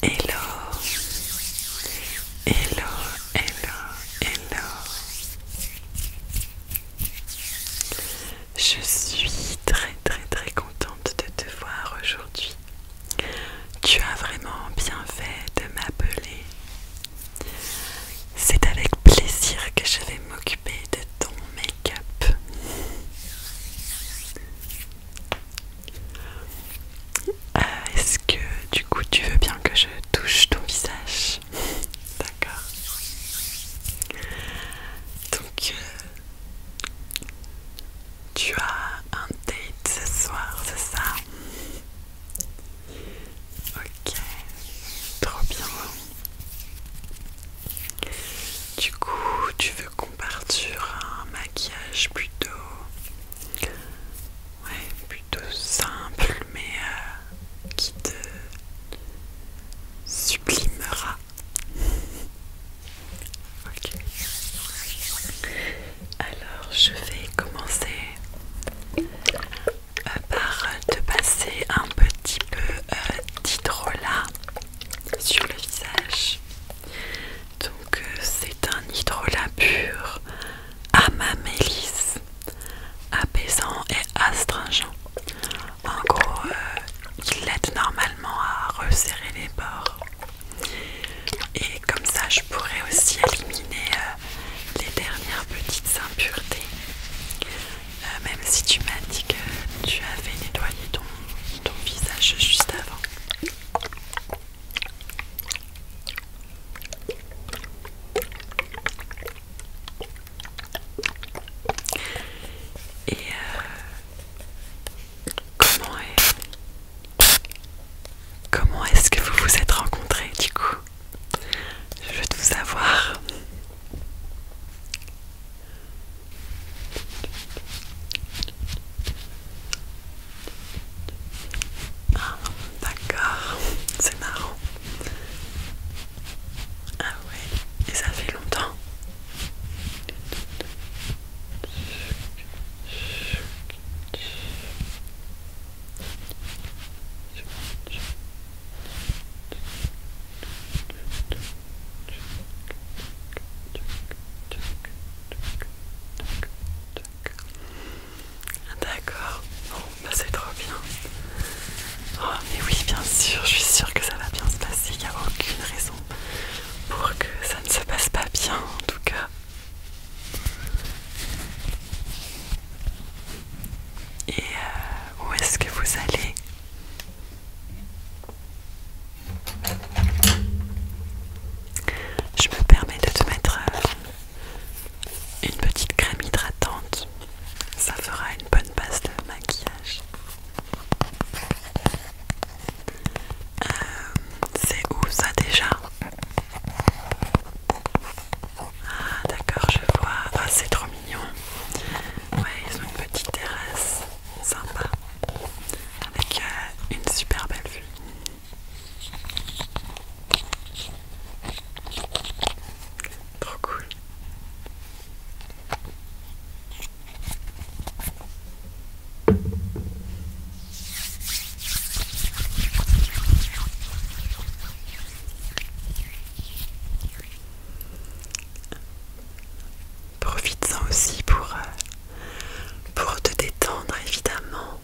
Hello, hello, hello, hello. Je suis très très très contente de te voir aujourd'hui. Tu as vraiment bien fait de m'appeler. C'est avec plaisir que je vais m'occuper de ton make-up. Euh, est-ce que du coup tu veux bien que je touche ton visage D'accord. Donc euh, tu as un date ce soir, c'est ça Ok, trop bien. Du coup, tu veux qu'on parte sur un maquillage plutôt. Ouais, plutôt simple, mais euh, qui te sublimera. Alors, je vais commencer euh, par te passer un petit peu euh, d'Hydrola sur le visage. Donc euh, c'est un hydrolat pur, mélisse apaisant et astringent. En gros, euh, il l'aide normalement à resserrer les bords. Et comme ça, je pourrais aussi éliminer euh, les dernières petites impuretés. même si tu m'as dit que tu avais nettoyé ton ton visage juste avant. Et euh, comment est comment est-ce que vous vous êtes rencontrés du coup Je veux tout savoir. Ah, d'accord, c'est marrant. Ah ouais, et ça fait longtemps. D'accord, bon, bah c'est trop bien. Oh, mais oui, bien sûr, je suis sûre que ça va bien se passer. Il n'y a aucune raison pour que ça ne se passe pas bien, en tout cas. Et euh, où est-ce que vous allez je me permets de te mettre euh, une petite crème hydratante. Ça fera une bonne base de maquillage. Euh, c'est où ça déjà Ah d'accord, je vois. Ah c'est trop mignon. Ouais, ils ont une petite terrasse sympa avec euh, une super belle vue. Trop cool profite en aussi pour, euh, pour te détendre, évidemment.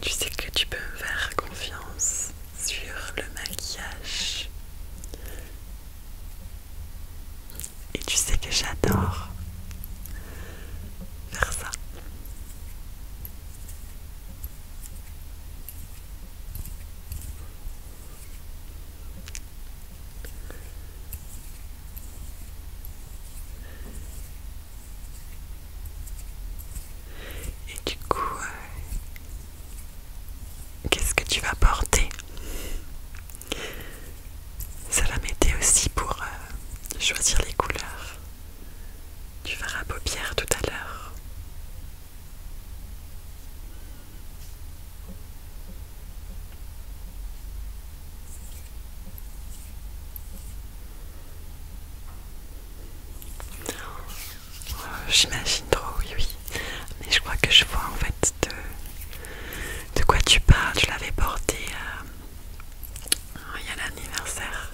Tu sais que tu peux me faire confiance sur le maquillage. Et tu sais que j'adore faire ça. Et du coup, euh, qu'est-ce que tu vas porter Ça va m'aider aussi pour euh, choisir les couleurs. Tu verras paupières tout à l'heure. Euh, j'imagine trop, oui, oui. Mais je crois que je vois en fait de, quoi tu parles. Je l'avais porté à euh, il y a l'anniversaire.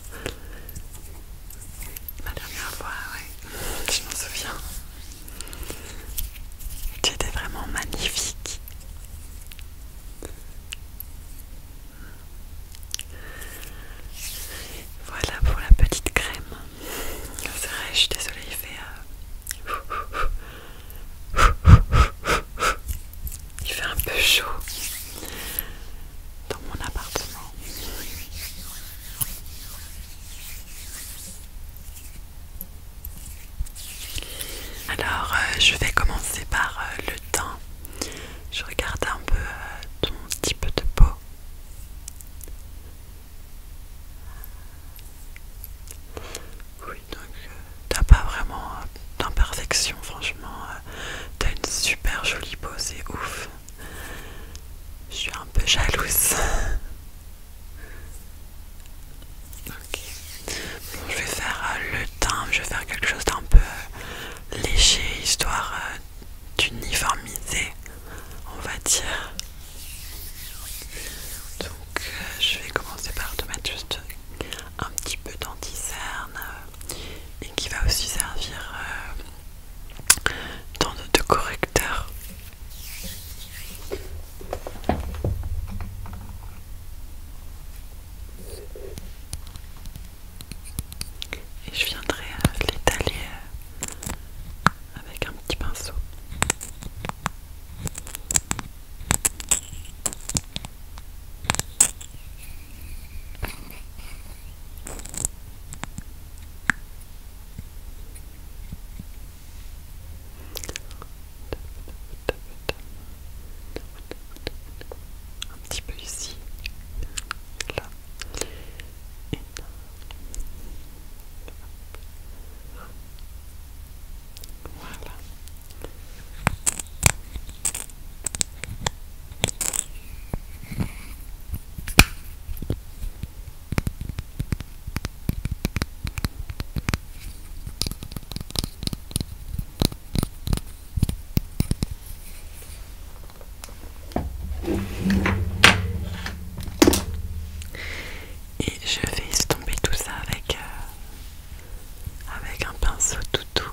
La dernière fois, ouais. Je m'en souviens. Tu étais vraiment magnifique. Voilà pour la petite crème. C'est vrai, je suis désolée, il fait. Euh, il fait un peu chaud dans mon appartement. Alors, euh, je vais commencer par euh, le teint. Je regarde un peu euh, ton type de peau. Oui, donc t'as pas vraiment d'imperfection, franchement. tu t'as une super jolie peau, c'est ouf. Je suis un peu jalouse. je vais faire euh, le teint, je vais faire quelque chose d'un peu euh, léger histoire euh, d'uniformiser, on va dire. Donc je vais commencer par te mettre juste un petit peu d'anticerne et qui va aussi servir de correcteur. Et je viendrai euh, l'étaler euh, avec un petit pinceau un petit peu ici, là, et Voilà. Et je vais estomper tout ça avec, euh, avec un pinceau tout doux.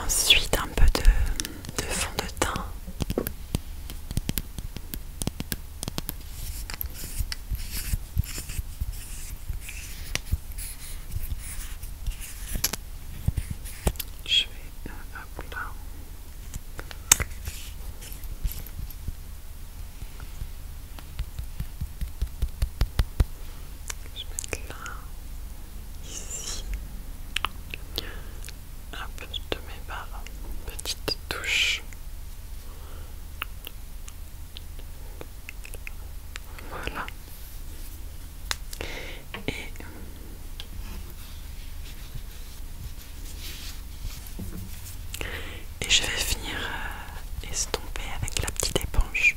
Ensuite, un peu de, de fond de teint. Je vais euh, Je mets mettre là, ici, un peu de mes barres, petite touche. Voilà. Et je vais finir euh, estomper avec la petite éponge.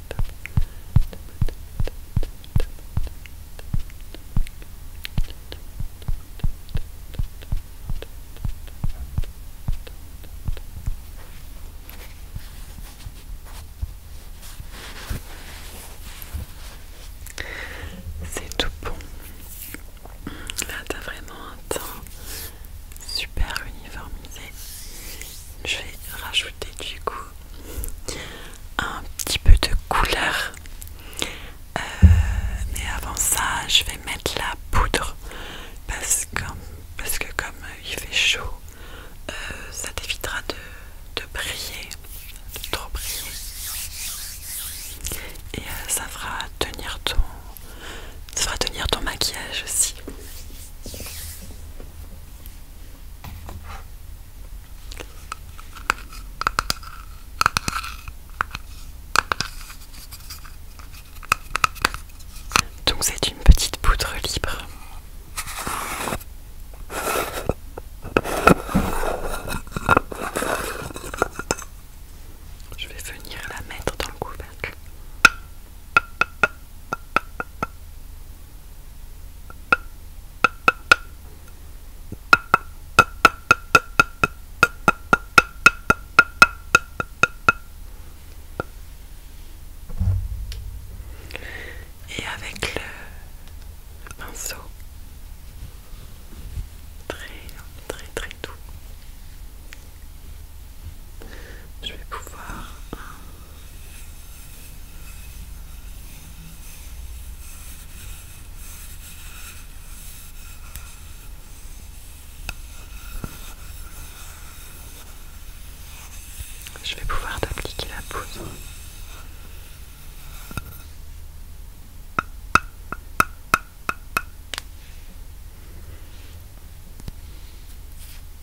C'est tout bon. Là, t'as vraiment un temps super uniformisé je vais rajouter du coup un petit peu de couleur. Euh, mais avant ça, je vais mettre la poudre parce que, parce que comme il fait chaud, euh, ça t'évitera de, briller, de trop briller. Et euh, ça fera tenir ça fera tenir ton maquillage aussi. Donc c'est une petite poudre libre. Je vais venir la mettre dans le couvercle. Et avec le, pinceau, très très très doux, je vais pouvoir je vais pouvoir t'appliquer la poudre.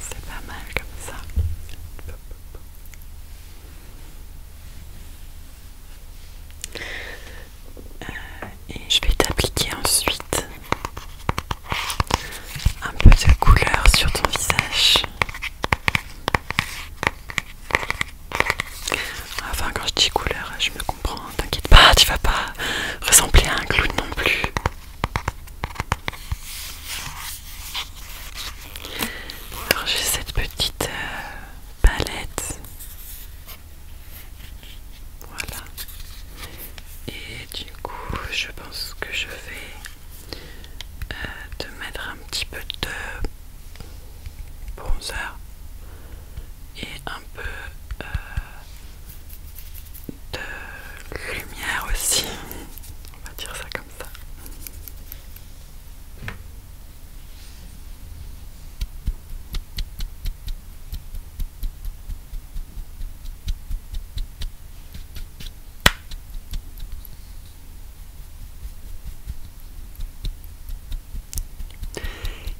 C'est pas mal comme ça. Euh, et je vais t'appliquer ensuite un peu de couleur sur ton visage. Enfin, quand je dis couleur, je me comprends. T'inquiète pas, tu vas pas ressembler à un clown non plus. Alors, j'ai cette petite euh, palette. Voilà. Et du coup, je pense que je vais euh, te mettre un petit peu de bronzer et un peu euh, de lumière aussi. On va dire ça comme ça.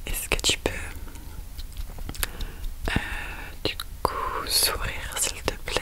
Est-ce que tu peux euh, du coup sourire s'il te plaît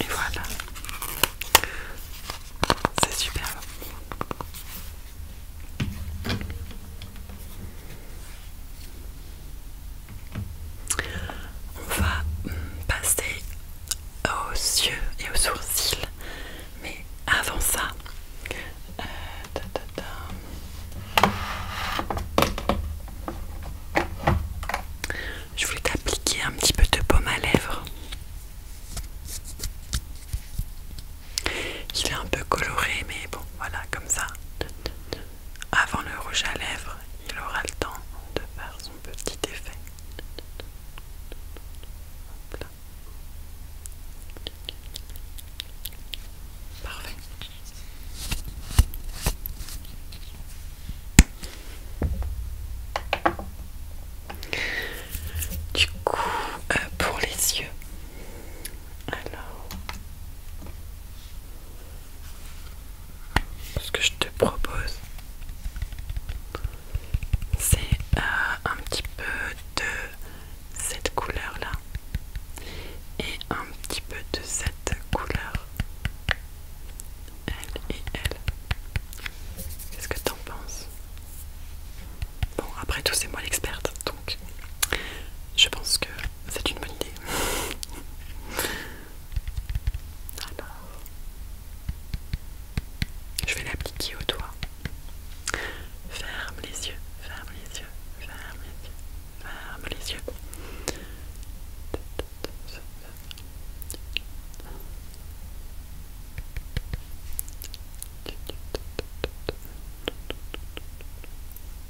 Et voilà, c'est superbe. On va passer aux yeux et aux sourcils, mais avant ça, euh, je voulais t'appliquer un petit peu de pomme à lèvres. Il est un peu coloré, mais bon, voilà, comme ça. Avant le rouge à lèvres, il aura le temps de faire son petit effet. Parfait. Du coup, euh, pour les yeux, alors ce que je te propose, c'est euh, un petit peu de cette couleur là et un petit peu de cette couleur. L et elle. Qu'est-ce que tu en penses Bon, après tout, c'est moi l'experte, donc je pense que c'est une bonne idée je vais l'appliquer au doigt. Ferme les yeux, ferme les yeux, ferme les yeux, ferme les yeux.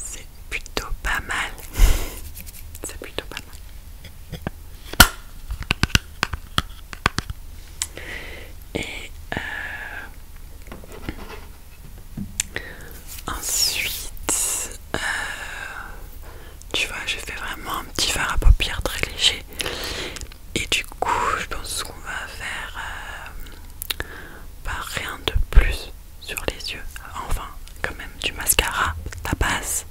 C'est plutôt pas mal. C'est plutôt pas mal. Et euh, ensuite, euh, tu vois, j'ai fait vraiment un petit fard à paupières très léger. Et du coup, je pense qu'on va faire euh, pas rien de plus sur les yeux. Enfin, quand même, du mascara, la base.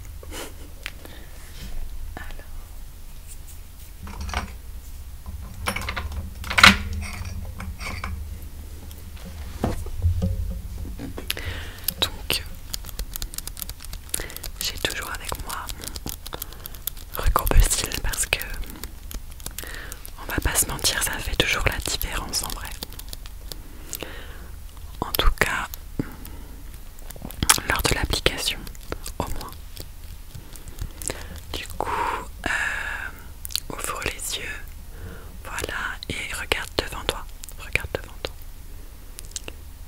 Donc, j'ai toujours avec moi mon style parce que on va pas se mentir, ça fait toujours la différence en vrai En tout cas, lors de l'application, au moins. Du coup, euh, ouvre les yeux, voilà, et regarde devant toi. Regarde devant toi.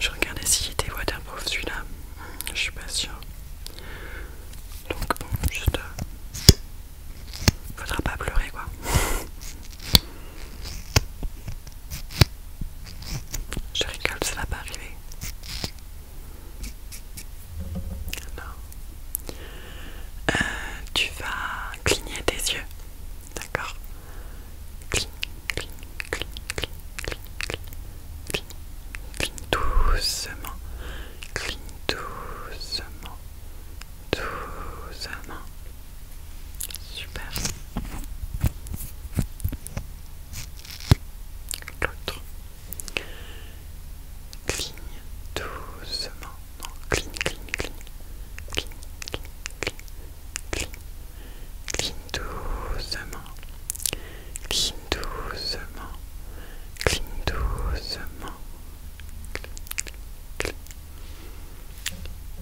Je regardais s'il était waterproof celui-là. Je suis pas sûre. Donc bon, juste... Euh, faudra pas pleurer quoi. Je rigole, ça va pas arriver. Non. Euh, tu vas cligner tes yeux, d'accord Cligne, cligne, cligne, cligne, cligne, cligne, cligne, doucement, cligne doucement, doucement. Super. L'autre. Cligne doucement, non, clean, clean, clean, clean, clean, clean, clean, doucement, clean doucement, clean doucement, clean,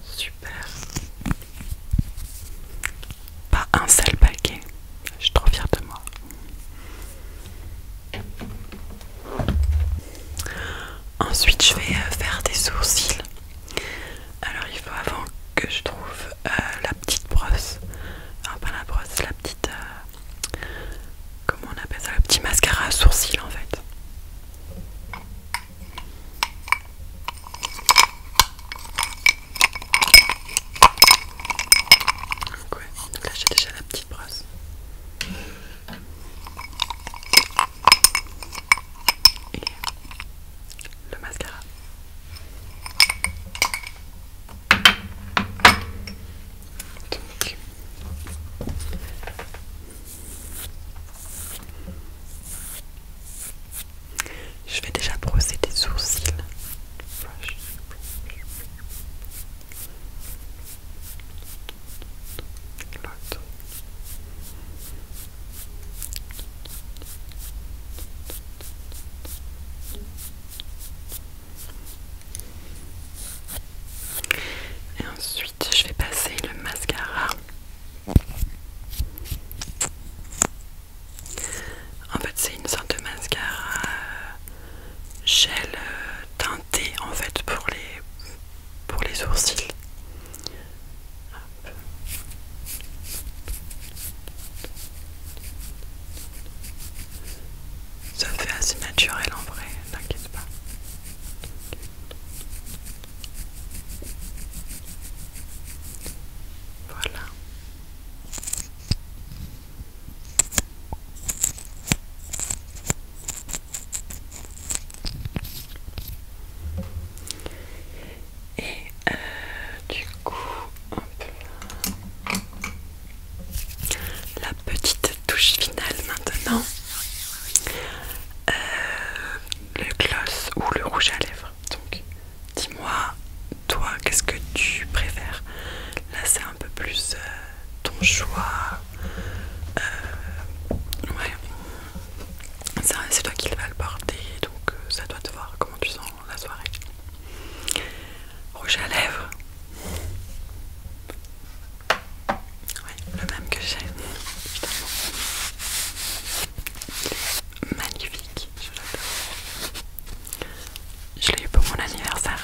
super, pas un seul paquet, je suis trop fière de moi. Ensuite, je vais euh, faire des sourcils. Alors, il faut avant que je trouve euh, la petite brosse. Enfin, pas la brosse, la petite. Euh, comment on appelle ça Le petit mascara à sourcils en fait. Donc, ouais, là j'ai déjà la petite brosse le mascara. Je vais déjà brosser des sourcils. Et ensuite, je vais passer le mascara. En fait, c'est une sorte de mascara euh, gel euh, teinté en fait pour les pour les sourcils. Ça fait assez naturel en vrai, t'inquiète pas. Voilà. Et euh, du coup, la petite touche finale maintenant, euh, le gloss ou le rouge à lèvres. Donc, dis-moi, toi, qu'est-ce que tu préfères Là, c'est un peu plus euh, ton choix. Euh, ouais, c'est toi qui va le porter, donc ça doit te voir comment tu sens la soirée. Rouge à lèvres, le même que j'ai. Magnifique, je Je l'ai eu pour mon anniversaire.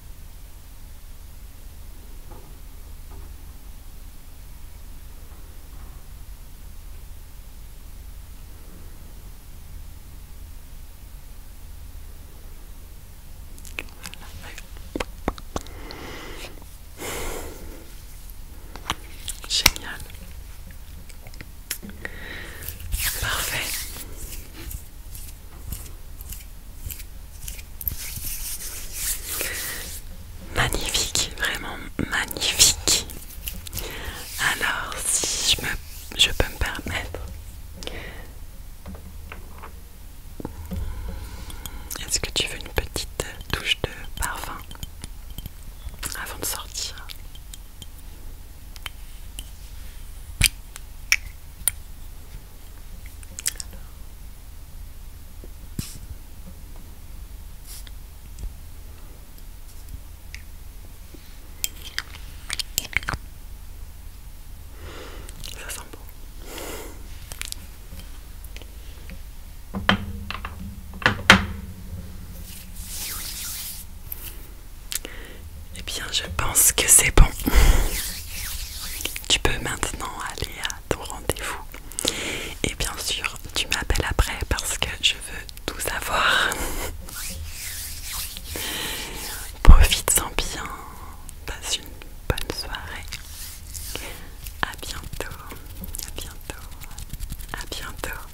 Génial. Parfait. Magnifique, vraiment magnifique. Alors, si je, me, je peux me permettre, est-ce que tu veux une petite touche de parfum avant de sortir ça sent bon. Eh bien, je pense que c'est bon. Tu peux maintenant aller à ton rendez-vous. Et bien sûr, tu m'appelles après parce que je veux tout savoir. Profite-en bien. Passe une bonne soirée. A bientôt. À bientôt. À bientôt.